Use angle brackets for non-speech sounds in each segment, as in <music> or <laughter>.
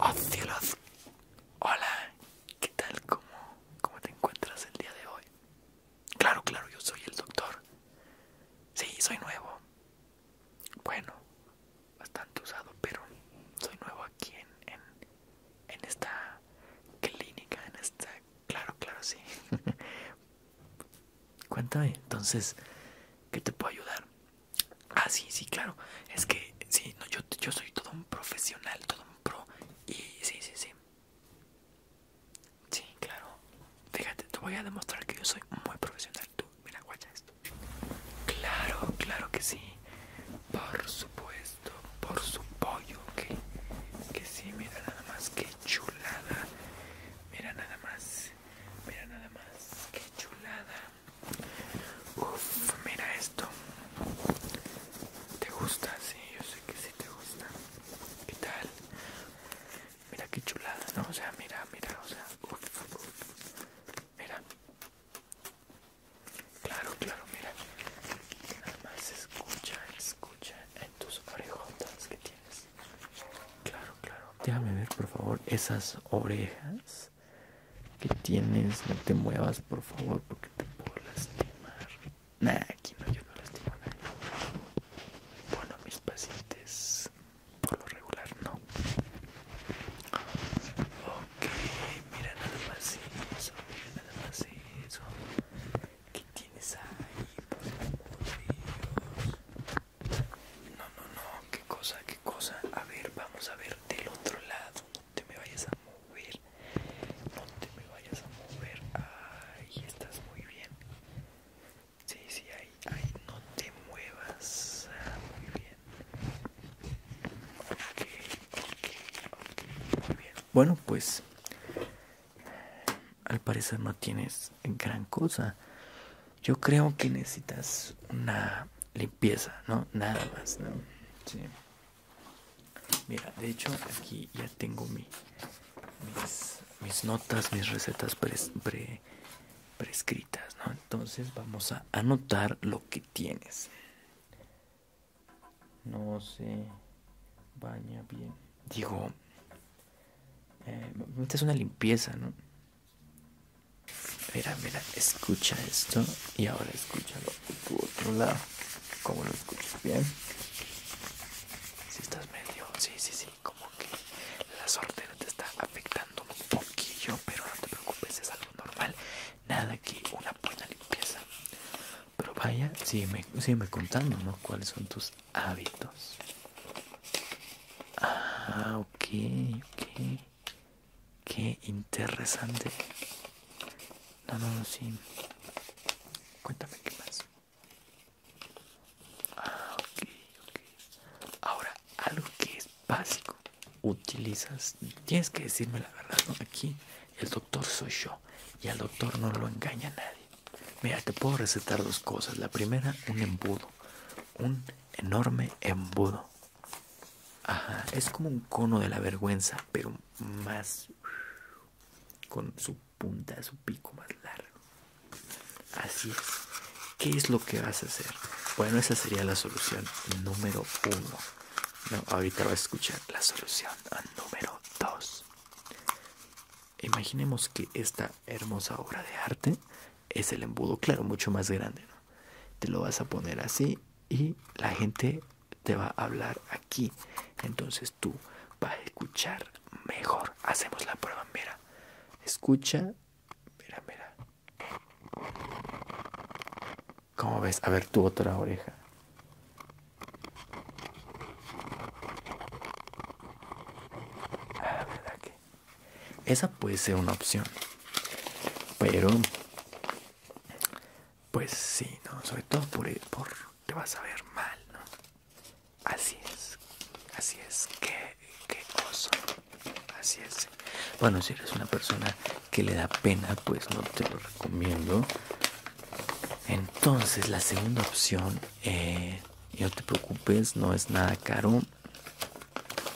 Oh Hola, ¿qué tal? ¿Cómo, te encuentras el día de hoy? Claro, claro, yo soy el doctor. Sí, soy nuevo. Bueno, bastante usado, pero soy nuevo aquí en, en esta clínica, en esta Claro, claro, sí. <laughs> Cuéntame, entonces, ¿qué te puedo ayudar? Ah, sí, sí, claro. Es que, sí, no, yo, yo soy todo un profesional, todo un pro. Y sí, sí, sí. Sí, claro. Fíjate, te voy a demostrar que yo soy muy profesional. Tú, mira, guacha esto. Claro, claro que sí. Por supuesto, por su pollo, que, que sí, mira nada más que chulada. Mira nada más, mira nada más, qué chulada. Uf, mira esto. ¿Te gusta? Sí, yo sé que sí te gusta. ¿Qué tal? Mira qué chulada, ¿no? O sea, mira, mira, o sea, uf, uf. Mira. Claro, claro, mira. Nada más escucha, escucha en tus orejotas que tienes. Claro, claro. Déjame ver, por favor, esas orejas que tienes. No te muevas, por favor, porque te puedo lastimar. Nah, aquí no, yo no lastimo a Bueno, mis pacientes, por lo regular, no. Ok, mira nada más eso, mira nada más eso. ¿Qué tienes ahí? Por No, no, no. ¿Qué cosa? ¿Qué cosa? A ver, vamos a ver del otro lado. No te me vayas a mover. No te me vayas a mover. Ahí estás muy bien. Sí, sí, ahí, ahí. No te muevas. Ah, muy bien. Ok, ok, ok. Muy bien. Bueno, pues al parecer no tienes gran cosa. Yo creo que necesitas una limpieza, ¿no? Nada más, ¿no? Sí. Mira, de hecho aquí ya tengo mis, notas, mis recetas prescritas, ¿no? Entonces vamos a anotar lo que tienes. No se baña bien. Digo, eh, esta es una limpieza, ¿no? Mira, mira, escucha esto y ahora escúchalo por tu otro lado. ¿Cómo lo escuchas? ¿Bien? Si estás medio, sí, sí, sí, como que la suerte te está afectando un poquillo, pero no te preocupes, es algo normal. Nada que una buena limpieza. Pero vaya, sígueme, me contando, ¿no? ¿Cuáles son tus hábitos? Ah, ok, ok. Qué interesante. No, no, no, sí. Cuéntame qué más. Ah, ok, ok. Ahora, algo que es básico. Utilizas, tienes que decirme la verdad, ¿no? Aquí el doctor soy yo y al doctor no lo engaña nadie. Mira, te puedo recetar dos cosas. La primera, un embudo. Un enorme embudo. Ajá, es como un cono de la vergüenza, pero más con su punta, su pico más largo. Así es. ¿Qué es lo que vas a hacer? Bueno, esa sería la solución número uno. No, ahorita vas a escuchar la solución número dos. Imaginemos que esta hermosa obra de arte es el embudo, claro, mucho más grande. Te lo vas a poner así y la gente te va a hablar aquí. Entonces tú vas a escuchar mejor. Hacemos la prueba, mira. Escucha, mira, mira. ¿Cómo ves? A ver tu otra oreja. Ah, Esa puede ser una opción. Pero, pues sí, ¿no? Sobre todo eh, por, te vas a ver mal, ¿no? Así es. Así es. Qué, qué Así es. Bueno, si eres una persona que le da pena, pues no te lo recomiendo. Entonces, la segunda opción eh, no te preocupes no es nada caro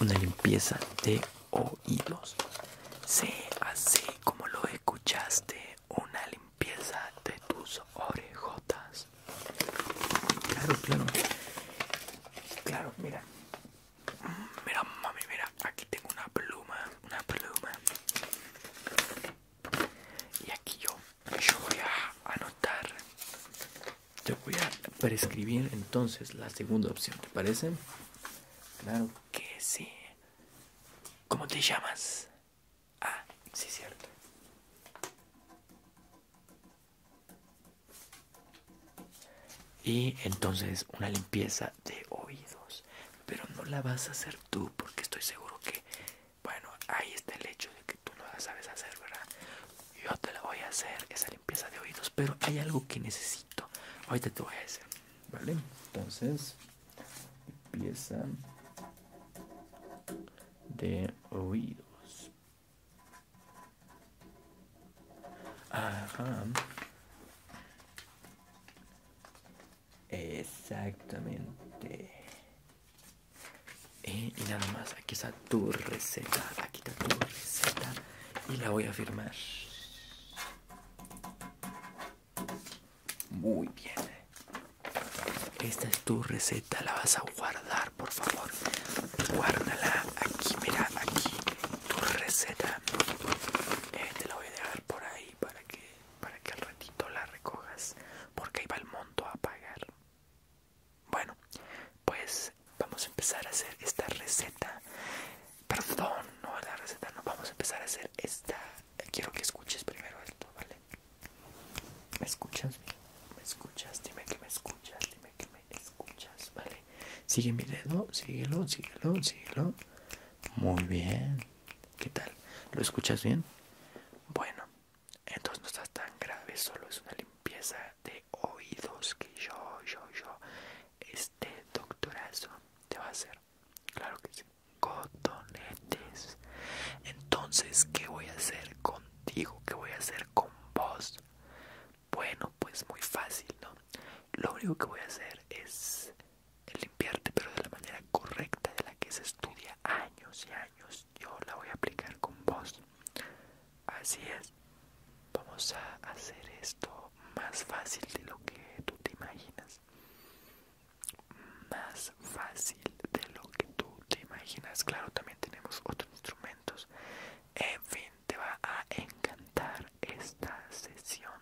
una limpieza de oídos sí así como lo escuchaste una limpieza de tus orejotas claro claro claro mira mira mami mira aquí tengo una pluma una pluma y aquí yo, voy a anotar te voy a prescribir entonces la segunda opción ¿te parece? claro que sí ¿cómo te llamas? ah, sí cierto y entonces una limpieza de oídos pero no la vas a hacer tú porque estoy seguro que bueno, ahí está el hecho de que tú no la sabes hacer, ¿verdad? Yo te la voy a hacer, esa limpieza de oídos, pero hay algo que necesito. Ahorita te voy a hacer, ¿vale? Entonces, limpieza de oídos. Ajá. Exactamente. Eh, y nada más, aquí está tu receta. Aquí está tu receta. Y la voy a firmar. Muy bien. Esta es tu receta, la vas a guardar, por favor. Guárdala aquí, mira, aquí. Tu receta. Este te la voy a dejar por ahí para que para que al ratito la recojas porque ahí va el monto a pagar bueno pues vamos a empezar a hacer esta receta perdón no la receta no vamos a empezar a hacer esta quiero que escuches primero esto vale me escuchas me escuchas dime que me escuchas dime que me escuchas vale sigue mi dedo síguelo síguelo síguelo muy bien ¿Qué tal? ¿Lo escuchas bien? Bueno, entonces no estás tan grave, solo es una limpieza de oídos que yo, yo, yo, este doctorazo te va a hacer. Claro que sí. Cotonetes. Entonces, ¿qué voy a hacer contigo? ¿Qué voy a hacer con vos? Bueno, pues muy fácil, ¿no? Lo único que voy a hacer es limpiarte, pero de la manera correcta de la que se estudia años y años. Yo la voy a aplicar con vos. Así es. Vamos a hacer esto más fácil de lo que tú te imaginas. Más fácil de lo que tú te imaginas. Claro, también tenemos otros instrumentos. En fin, te va a encantar esta sesión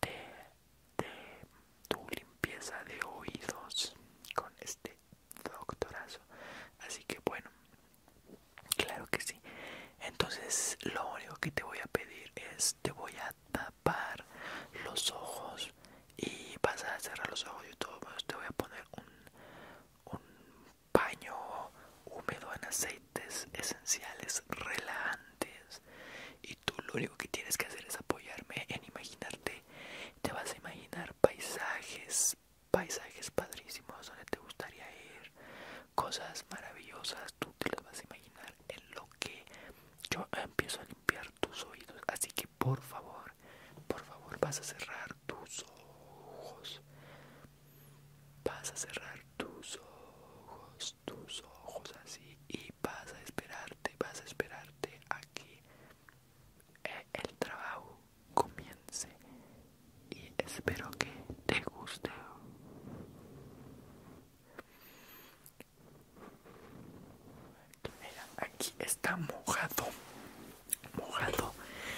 de de tu limpieza de oídos con este doctorazo así que bueno claro que sí entonces lo único que te voy a pedir es te voy a tapar los ojos y vas a cerrar los ojos y todo pues, te voy a poner un, un paño húmedo en aceites esenciales relajantes y tú lo único que tienes que hacer es apoyarme en imaginarte te vas a imaginar paisajes paisajes padrísimos donde te gustaría ir cosas maravillosas tú te lo vas a imaginar en lo que yo empiezo a limpiar tus oídos así que por favor por favor vas a cerrar tus ojos vas a cerrar tus ojos tus ojos así y vas a esperarte, vas a esperarte a que eh, el trabajo comience y espero que te guste. Mira, aquí está mojado, mojado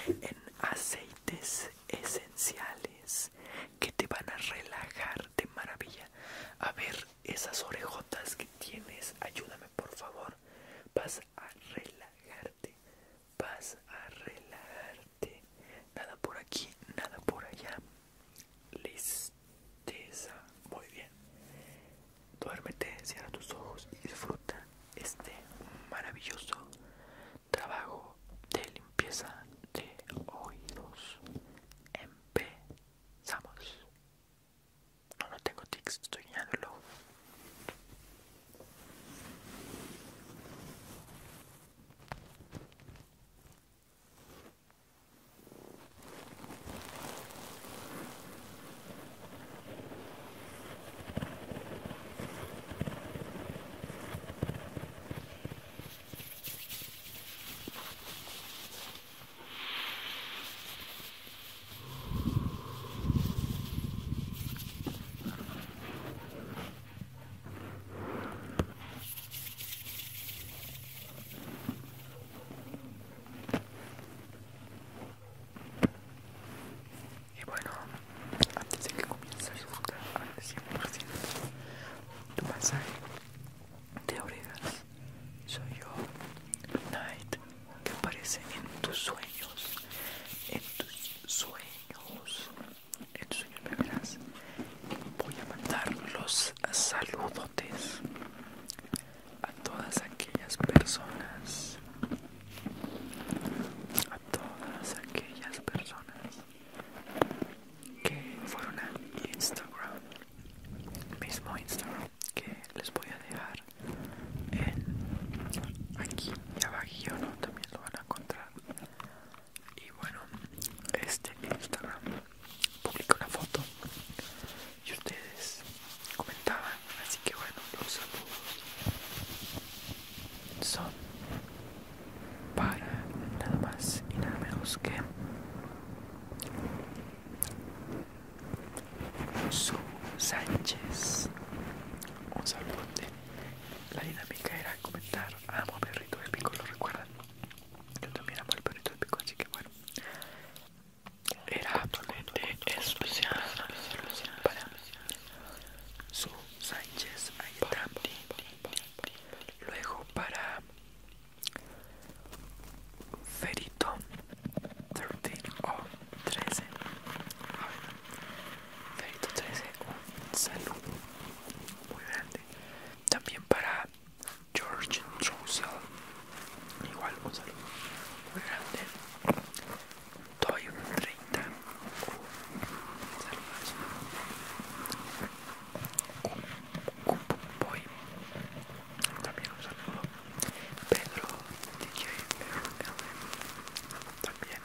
en aceites esenciales que te van a relajar de maravilla. A ver, esas orejotas que tienes, ayúdame por favor. Vas a relajarte, vas a relajarte. Nada por aquí, nada por allá. Listeza, muy bien. Duérmete, cierra tus ojos y disfruta este maravilloso trabajo de limpieza de oídos. Empezamos. No, no tengo tics, estoy guiando el ojo. Y bueno, antes de que comience, a disfrutar al 100% tu masaje, te oregas soy yo, Night, que aparece en tus sueños, en tus sueños, en tus sueños me verás. Voy a mandar los saludotes a todas aquellas personas, a todas aquellas personas que fueron a Instagram mismo Instagram que les voy a dejar aquí y ¿no? también lo van a encontrar y bueno este Instagram publica una foto y ustedes comentaban así que bueno los saludos son para nada más y nada menos que su Sánchez. Un saludote. La dinámica era comentar. Amo el perrito del pico, ¿lo recuerdan? Yo también amo el perrito del pico, así que bueno. Era absolutamente especial para su Sánchez. Ahí está. Luego para Ferito 13 o 13 Ferito 13 un saludo muy grande también para George Troussel igual un saludo muy grande Toy 30 un saludazo también un saludo. Pedro, También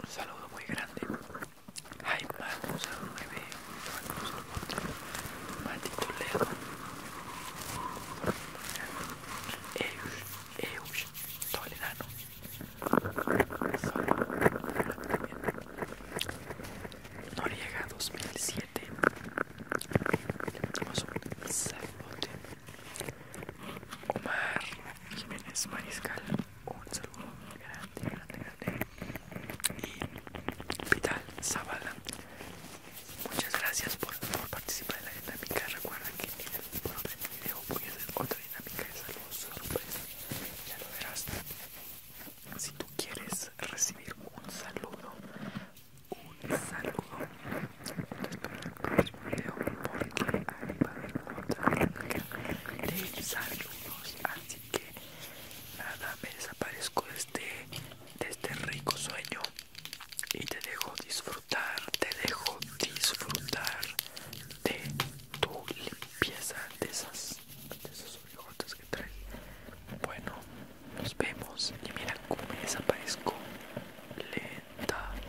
un saludo muy grande. más, un saludo muy bien. Mati Leo Eus, Eush, Toledano. Noriega 2007 saludo Omar Jiménez Mariscal un saludo grande grande grande y Vital Zavala muchas gracias por, participar en la dinámica recuerda que en el próximo video voy a hacer otra dinámica de saludos sorpresa ya lo verás si tú quieres recibir un saludo, un saludo, en el video porque otra de Así que nada, me desaparezco de este, de este rico sueño y te dejo disfrutar, te dejo disfrutar de tu limpieza de esas, de esas que Bueno, nos vemos. Y mira cómo me desaparezco lentamente.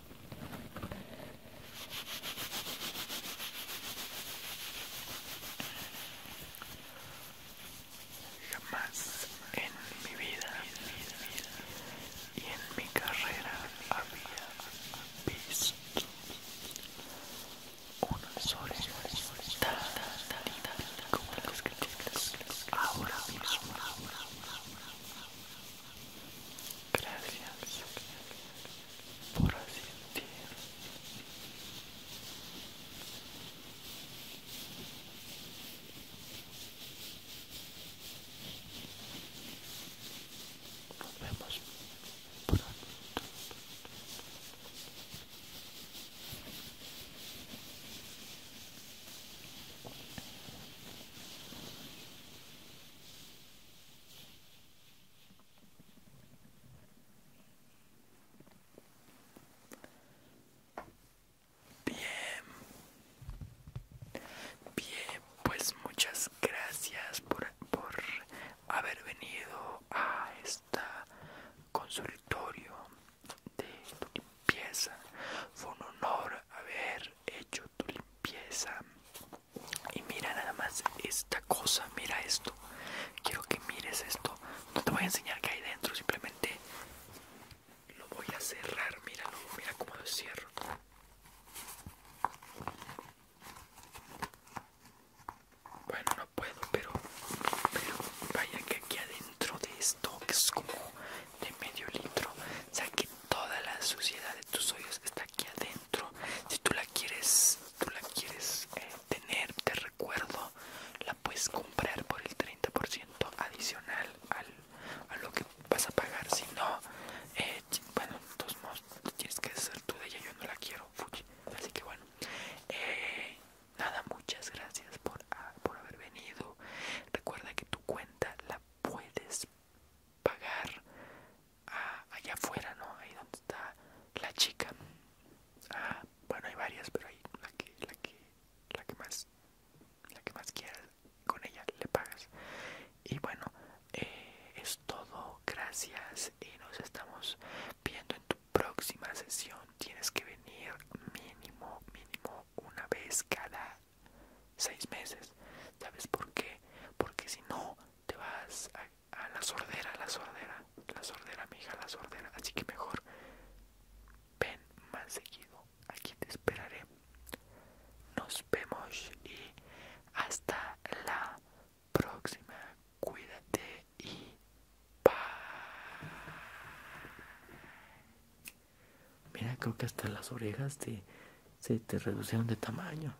Jamás en mi vida y en mi carrera había visto unas orejas como las que ahora mismo. Gracias por asistir. Nos vemos pronto. Bien, bien, pues muchas gracias por, haber venido a este consultorio de limpieza. Fue un honor haber hecho tu limpieza y mira nada más esta cosa mira esto quiero que mires esto no te voy a enseñar que hay dentro simplemente lo voy a cerrar míralo mira cómo lo cierro bueno no puedo pero vaya que aquí adentro de esto es como de medio litro que toda la suciedad de tus hoyos está aquí adentro. Si tú la quieres, la quieres eh, tener, te recuerdo, la puedes comprar por el 30% adicional al, a lo que vas a pagar. Si no, eh, bueno, de todos tienes que hacer tú de ella. Yo no la quiero, Así que bueno, eh, nada, muchas gracias por, ah, por haber venido. Recuerda que tu cuenta la puedes pagar ah, allá afuera, ¿no? Ahí donde está la chica. Ah, bueno, hay varias, pero hay la que, la que, la que más, la que más quieras, con ella le pagas. Y bueno, eh, es todo. Gracias y nos estamos viendo en tu próxima sesión. Tienes que venir mínimo, mínimo una vez cada seis meses. ¿Sabes por qué? Porque si no, te vas a, la sordera, la sordera, la sordera, mi hija, la sordera. Así que mejor ven más seguido. Aquí te esperaré. Nos vemos y hasta la próxima. Cuídate y pa Mira, creo que hasta las orejas te, se te reducieron de tamaño.